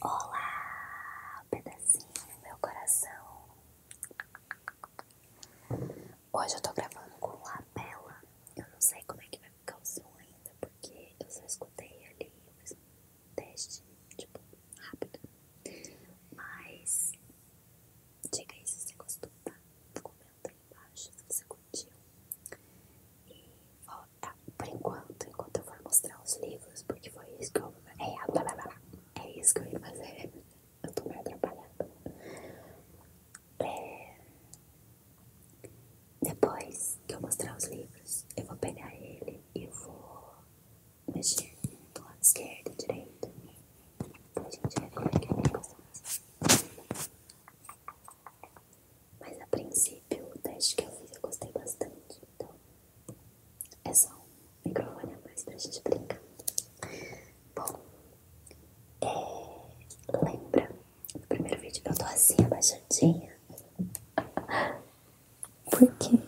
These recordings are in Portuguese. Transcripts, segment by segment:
Olá, pedacinho do meu coração. Hoje eu tô gravando com lapela. Eu não sei como é que vai ficar o som ainda, porque eu só escutei ali, eu fiz um teste, tipo, rápido. Mas diga aí se você gostou, tá? Comenta aí embaixo se você curtiu. E volta Tá, por enquanto, enquanto eu for mostrar os livros, porque foi isso que eu. É, é isso que eu ia fazer. Eu tô meio atrapalhada. É, depois que eu mostrar os livros, eu vou pegar ele e vou mexer do lado esquerdo e direito. Pra gente ver como é mas a princípio, o teste que eu fiz eu gostei bastante. Então, é só um microfone a mais pra gente brincar. Bom, é, lembra no primeiro vídeo eu tô assim abaixadinha? Por quê?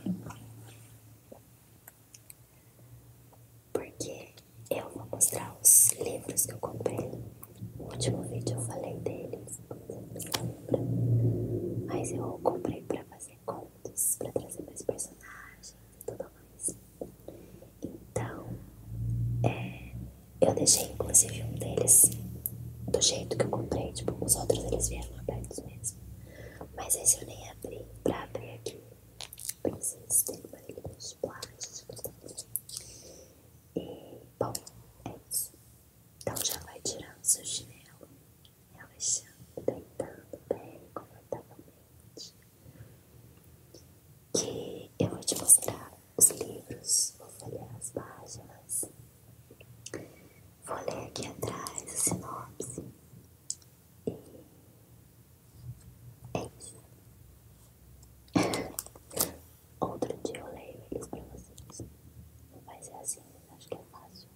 Porque eu vou mostrar os livros que eu comprei no último vídeo eu falei deles, você lembra? Mas eu comprei pra fazer contos, pra trazer mais personagens e tudo mais. Então, é, eu deixei inclusive um deles do jeito que eu comprei, tipo, os outros eles vieram abertos mesmo. Mas esse eu nem abri, pra abrir aqui precisa ter uma linha de plástico. E, bom, é isso. Então já vai tirando seu chinelo, relaxando, deitando bem confortavelmente. Que eu vou te mostrar os livros, vou folhear as páginas, vou ler aqui atrás a sinopse. E é isso. Outro dia eu leio eles pra vocês. Não vai ser assim, mas acho que é fácil.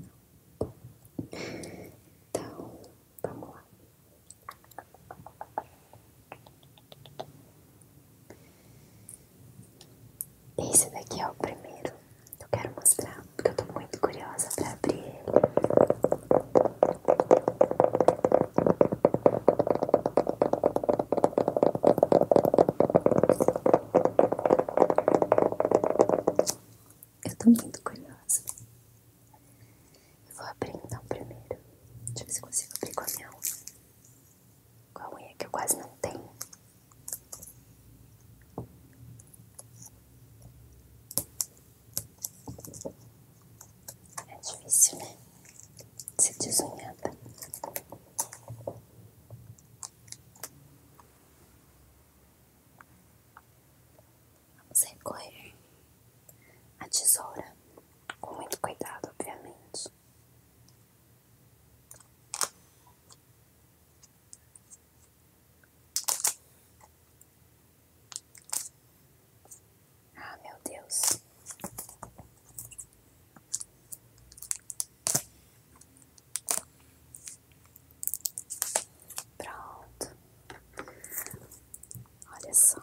Não. Então, vamos lá. Esse daqui é o primeiro eu quero mostrar, porque eu tô muito curiosa pra abrir ele. Eu tô muito curiosa. vou abrir então primeiro. Deixa eu ver se consigo abrir com a minha unha. Com a unha que eu quase não tenho. É difícil, né? Se desunhar, tá? Vamos recorrer a tesoura com muito cuidado, obviamente. Ah, meu Deus. Pronto. Olha só.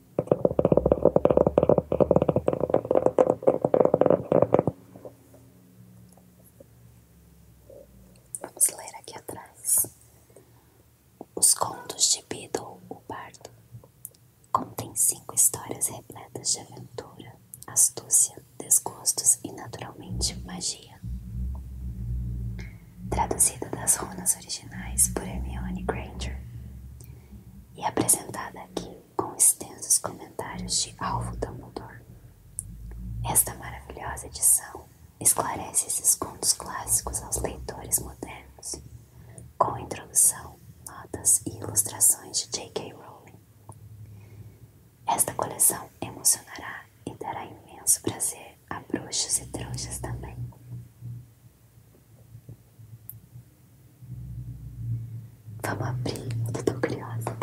Vamos ler aqui atrás. Os contos de Beedle, o Bardo, contém cinco histórias repletas de aventura, astúcia, desgostos e, naturalmente, magia. Traduzida das runas originais por Hermione Granger e apresentada aqui com extensos comentários de Alvo Dumbledore. Esta maravilhosa edição esclarece esses contos clássicos aos leitores modernos, com introdução, notas e ilustrações de J.K. Rowling. Esta coleção emocionará e dará imenso prazer a bruxos e trouxas também. Vamos abrir, eu tô curiosa.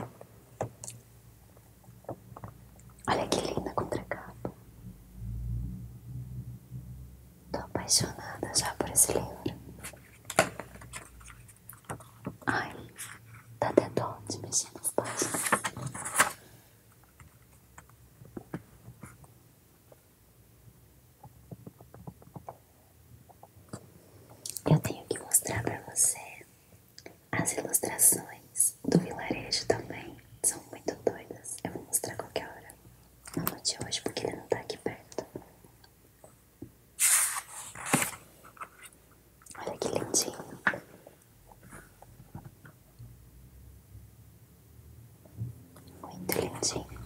Olha que linda contracapa. Tô apaixonada já por esse livro. Ai, dá tá até dó de mexer nas páginas. Eu tenho que mostrar para você as ilustrações do vilarejo também. São muito doidas. Eu vou mostrar qualquer hora. Não no de hoje, porque ele não tá aqui perto. Olha que lindinho. Muito lindinho.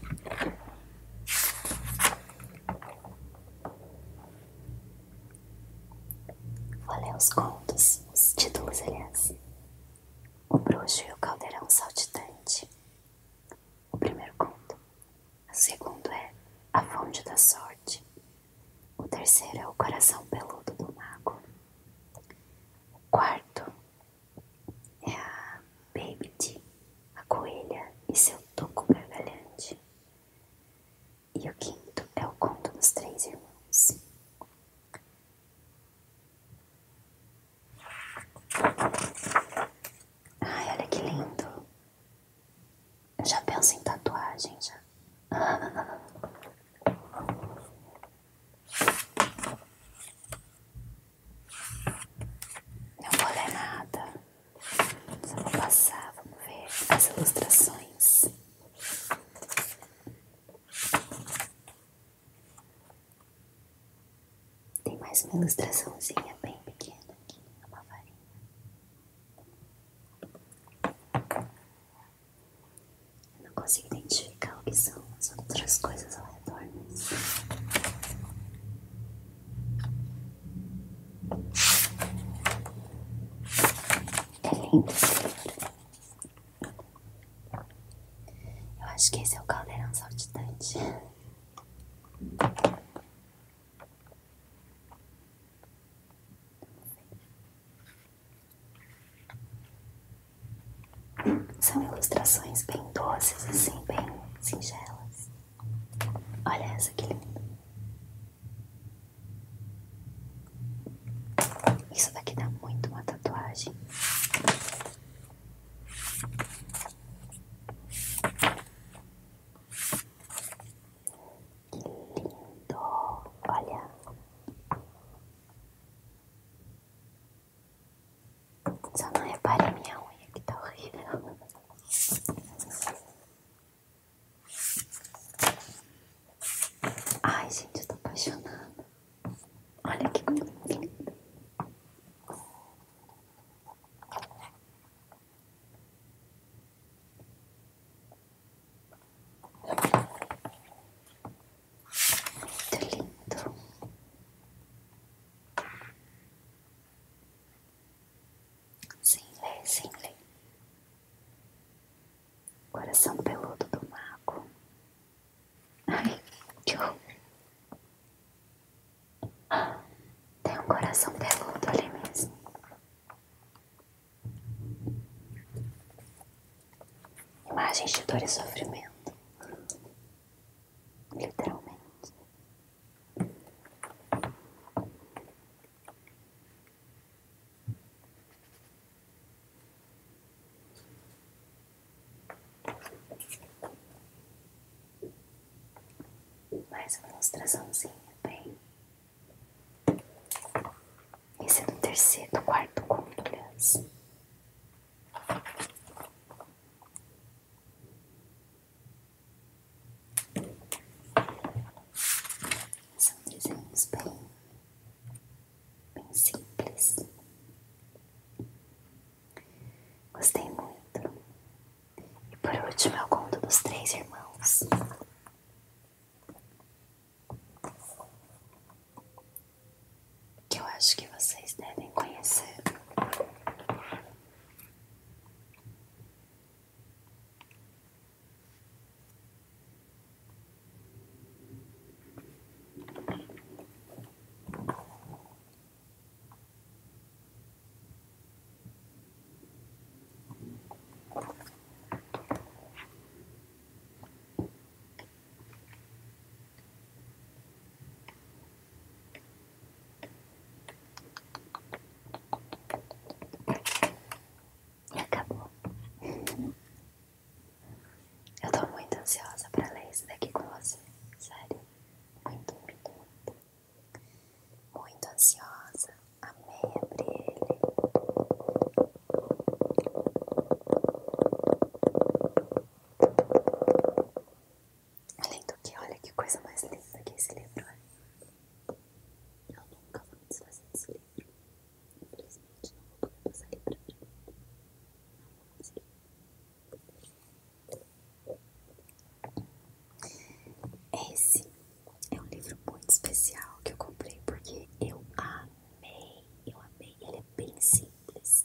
Vou os contos, os títulos, aliás. O bruxo e o caldeirão saltitante. O primeiro conto. O segundo é A Fonte da Sorte. O terceiro é O Coração Peludo do Mago. O quarto é a Baby D, a coelha e seu toco gargalhante. E o quinto é o conto dos três irmãos. Ai, olha que lindo. Eu já penso em tatuagem, já. Não vou ler nada, só vou passar, vamos ver as ilustrações. Tem mais uma ilustraçãozinha bem pequena aqui, uma varinha. Eu não consigo identificar o que são as outras coisas lá contornos. É lindo Eu acho que esse é o caldeirão saltitante. São ilustrações bem doces, assim, bem singelas. Olha essa que linda. Isso daqui dá muito uma tatuagem. Que lindo! Olha. Só não repare minha unha que tá horrível. Ai, gente, eu tô apaixonada. Olha que coisa linda. Muito lindo. Sem ler, sem ler. Coração peludo do mago. Ai, que horror. Tem um coração peludo ali mesmo. Imagens de dor e sofrimento literalmente. Mais uma ilustraçãozinha, bem. Esse é do terceiro, quarto conto, aliás. São desenhos bem, bem simples. Gostei muito. E por último eu conto dos três irmãos que eu acho que vocês devem conhecer. E acabou. Eu estou muito ansiosa para ler isso daqui com você. Sério. Muito, muito, muito. Muito ansiosa. Amei a ele. Além do que, olha que coisa mais linda que esse livro é. Eu nunca vou me desfazer desse livro. Infelizmente, não vou poder passar ele Esse é um livro muito especial que eu comprei porque eu amei. Eu amei. Ele é bem simples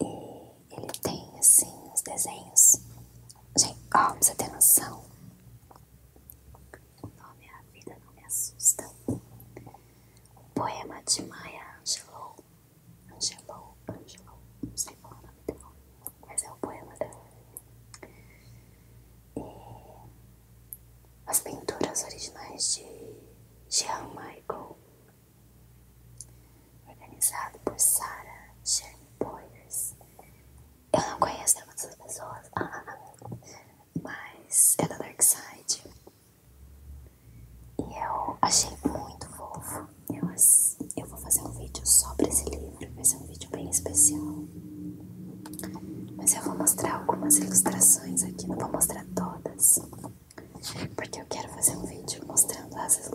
ele tem, assim, uns desenhos. Gente, ó, pra você ter noção. O nome é A Vida Não Me Assusta. Um poema de Maya Angelou. Angelou, Angelou. Não sei falar é o nome dela, mas é o poema dela. É, as pinturas originais de Jean Michael, organizado por Sarah Jane Boyers. Eu não conheço nenhuma dessas pessoas, mas é da Dark Side. E eu achei muito fofo. Eu, vou fazer um vídeo só pra esse livro, vai ser um vídeo bem especial. Mas eu vou mostrar algumas ilustrações aqui, não vou mostrar todas porque eu quero fazer um vídeo mostrando as,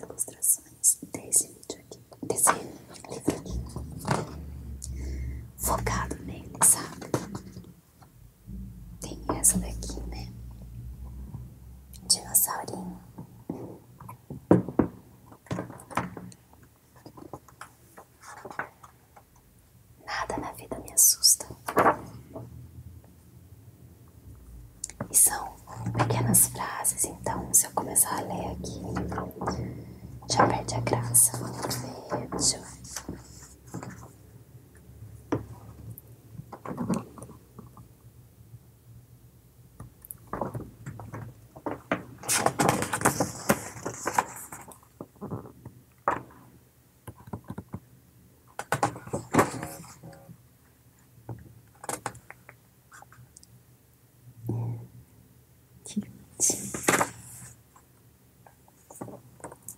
ilustrações desse vídeo aqui, desse livro aqui, focado nele, sabe? Tem essa daqui, né? Dinossaurinho. Nada na vida me assusta. E são pequenas frases, então se eu começar a ler aqui, já perde a graça.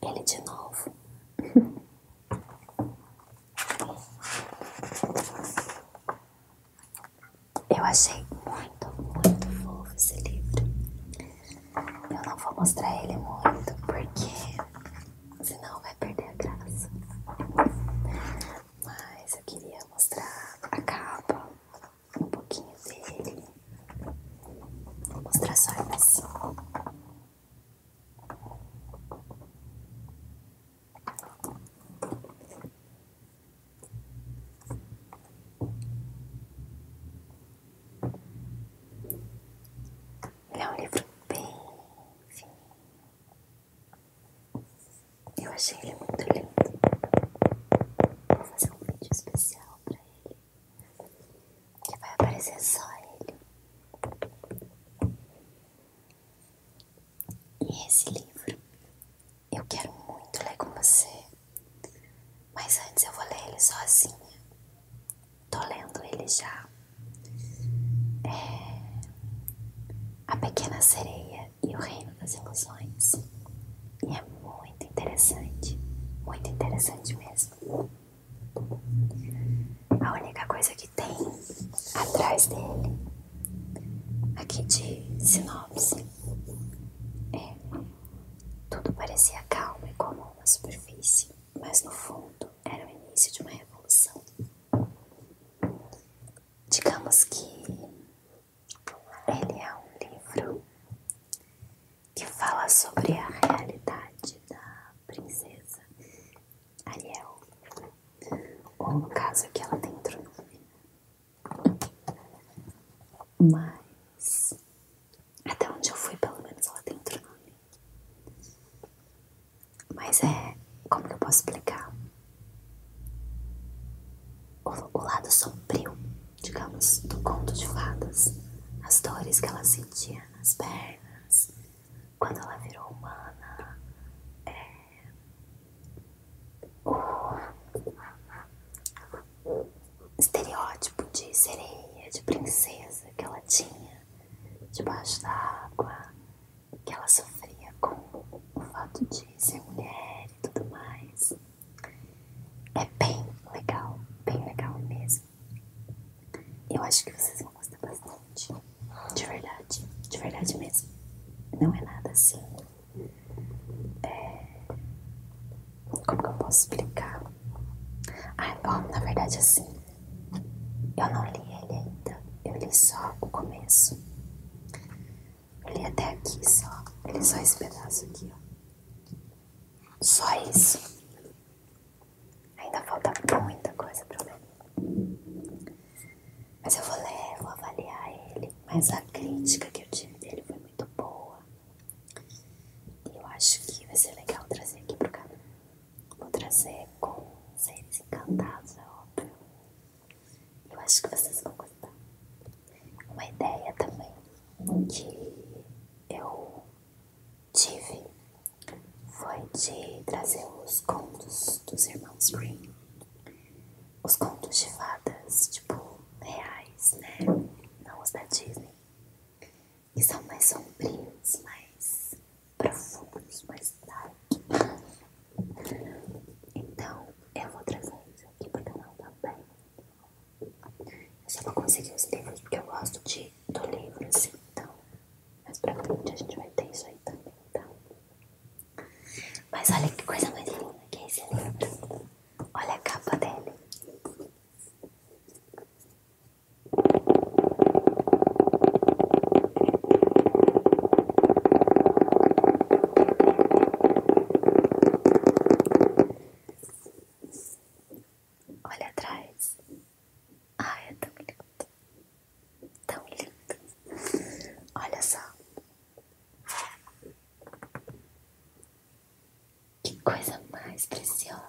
Ele de novo. Eu achei muito, muito fofo esse livro. Eu não vou mostrar ele muito, porque senão vai perder a graça. Mas eu queria mostrar a capa, um pouquinho dele. Vou mostrar só isso. Ele é um livro bem fininho. Assim, eu achei ele muito lindo. Vou fazer um vídeo especial pra ele. Que vai aparecer só ele. E esse livro eu quero muito ler com você. Mas antes eu vou ler ele sozinha. Tô lendo ele já. É A Pequena Sereia e o Reino das Ilusões. E é muito interessante. Muito interessante mesmo. A única coisa que tem atrás dele, aqui de sinopse, é tudo parecia calmo e comum na superfície, mas no fundo era o início de uma revolução. Digamos que ele é um livro que fala sobre a realidade da princesa Ariel, ou no caso que ela tem outro né? Mas até onde eu fui, pelo menos ela tem outro nome. Mas é. Como que eu posso explicar? O, lado sombrio, digamos, do conto de fadas. As dores que ela sentia nas pernas, quando ela virou humana. É, estereótipo de sereia, de princesa que ela tinha debaixo da água, que ela sofria com o fato de ser mulher e tudo mais. É bem legal, bem legal mesmo. Eu acho que vocês vão gostar bastante. De verdade, de verdade mesmo. Não é nada assim é, como que eu posso explicar? Ah, oh, na verdade, assim, eu não li ele ainda, eu li só o começo. Eu li até aqui só, ele só esse pedaço aqui, Só isso. Ainda falta muita coisa pra ler. Mas eu vou ler, vou avaliar ele. Mas a crítica que eu tive dele foi muito boa. E eu acho que vai ser legal trazer aqui pro canal. Vou trazer com seres encantados, é óbvio. Eu acho que vocês vão gostar. Uma ideia também que eu tive foi de trazer os contos dos irmãos Green os contos de fadas, tipo, reais, né? Não os da Disney. E são mais sombrios, mais profundos, mais dark. Então, eu vou trazer isso aqui para pro canal também. Eu só vou conseguir os livros porque eu gosto de, do livro, assim, então. Mas pra frente a gente vai ter isso aí também, então. Mas olha que coisa mais linda que é esse livro. Olha a capa dele. Olha atrás. Ai, é tão lindo. Tão lindo. Olha só. Que coisa mais preciosa.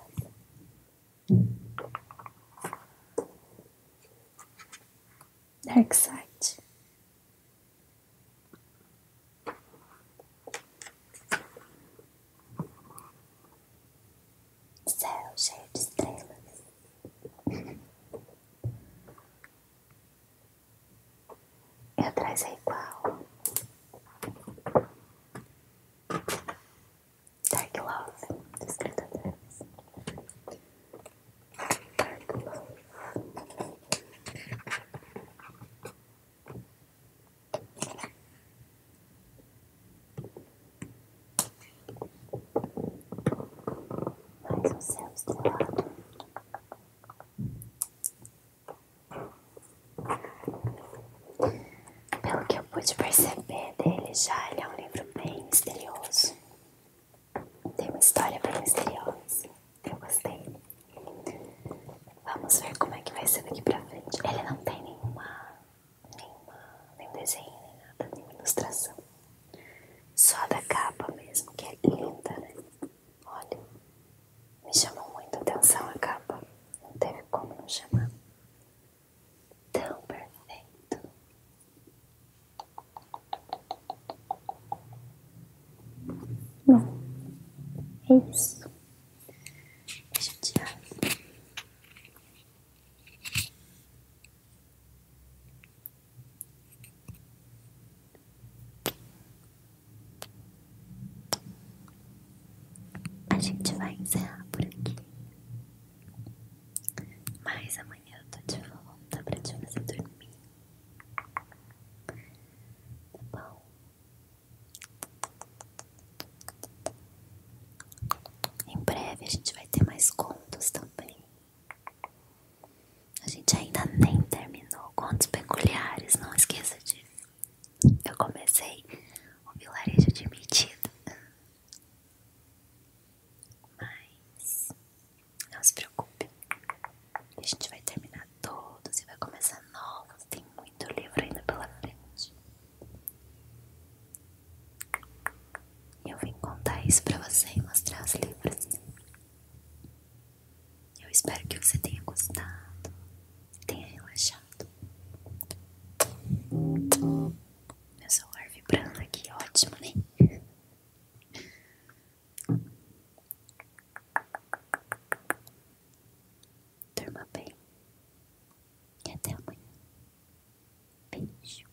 Dark Céu cheio de estrelas. E atrás é igual. Dark Love, dos tratadores. Dark Love. Mais um céu de pelo que eu pude perceber dele já, ele é um livro bem misterioso. Tem uma história bem misteriosa. Eu gostei. Vamos ver como é que vai ser daqui pra frente. Ele não tem nenhuma, nenhuma nenhum desenho, nem nada, nenhuma ilustração. Só da capa mesmo, que é linda, né? Olha, me chamou muito atenção a capa. Não teve como não chamar. Tão perfeito. Bom, é isso. Deixa eu tirar. A gente vai encerrar por aqui. Mas amanhã eu tô de volta pra te fazer dormir. Tá bom? Em breve a gente vai ter mais contos também. A gente ainda nem terminou Contos Peculiares, não esqueça disso. Eu comecei o vilarejo de medida. Mas não se preocupe, a gente vai terminar todos e vai começar novos. Tem muito livro ainda pela frente. E eu vim contar isso pra você e mostrar os livros. Eu espero que você tenha gostado, tenha relaxado. Meu celular vibrando aqui, ótimo, né? Durma bem. E até amanhã. Beijo.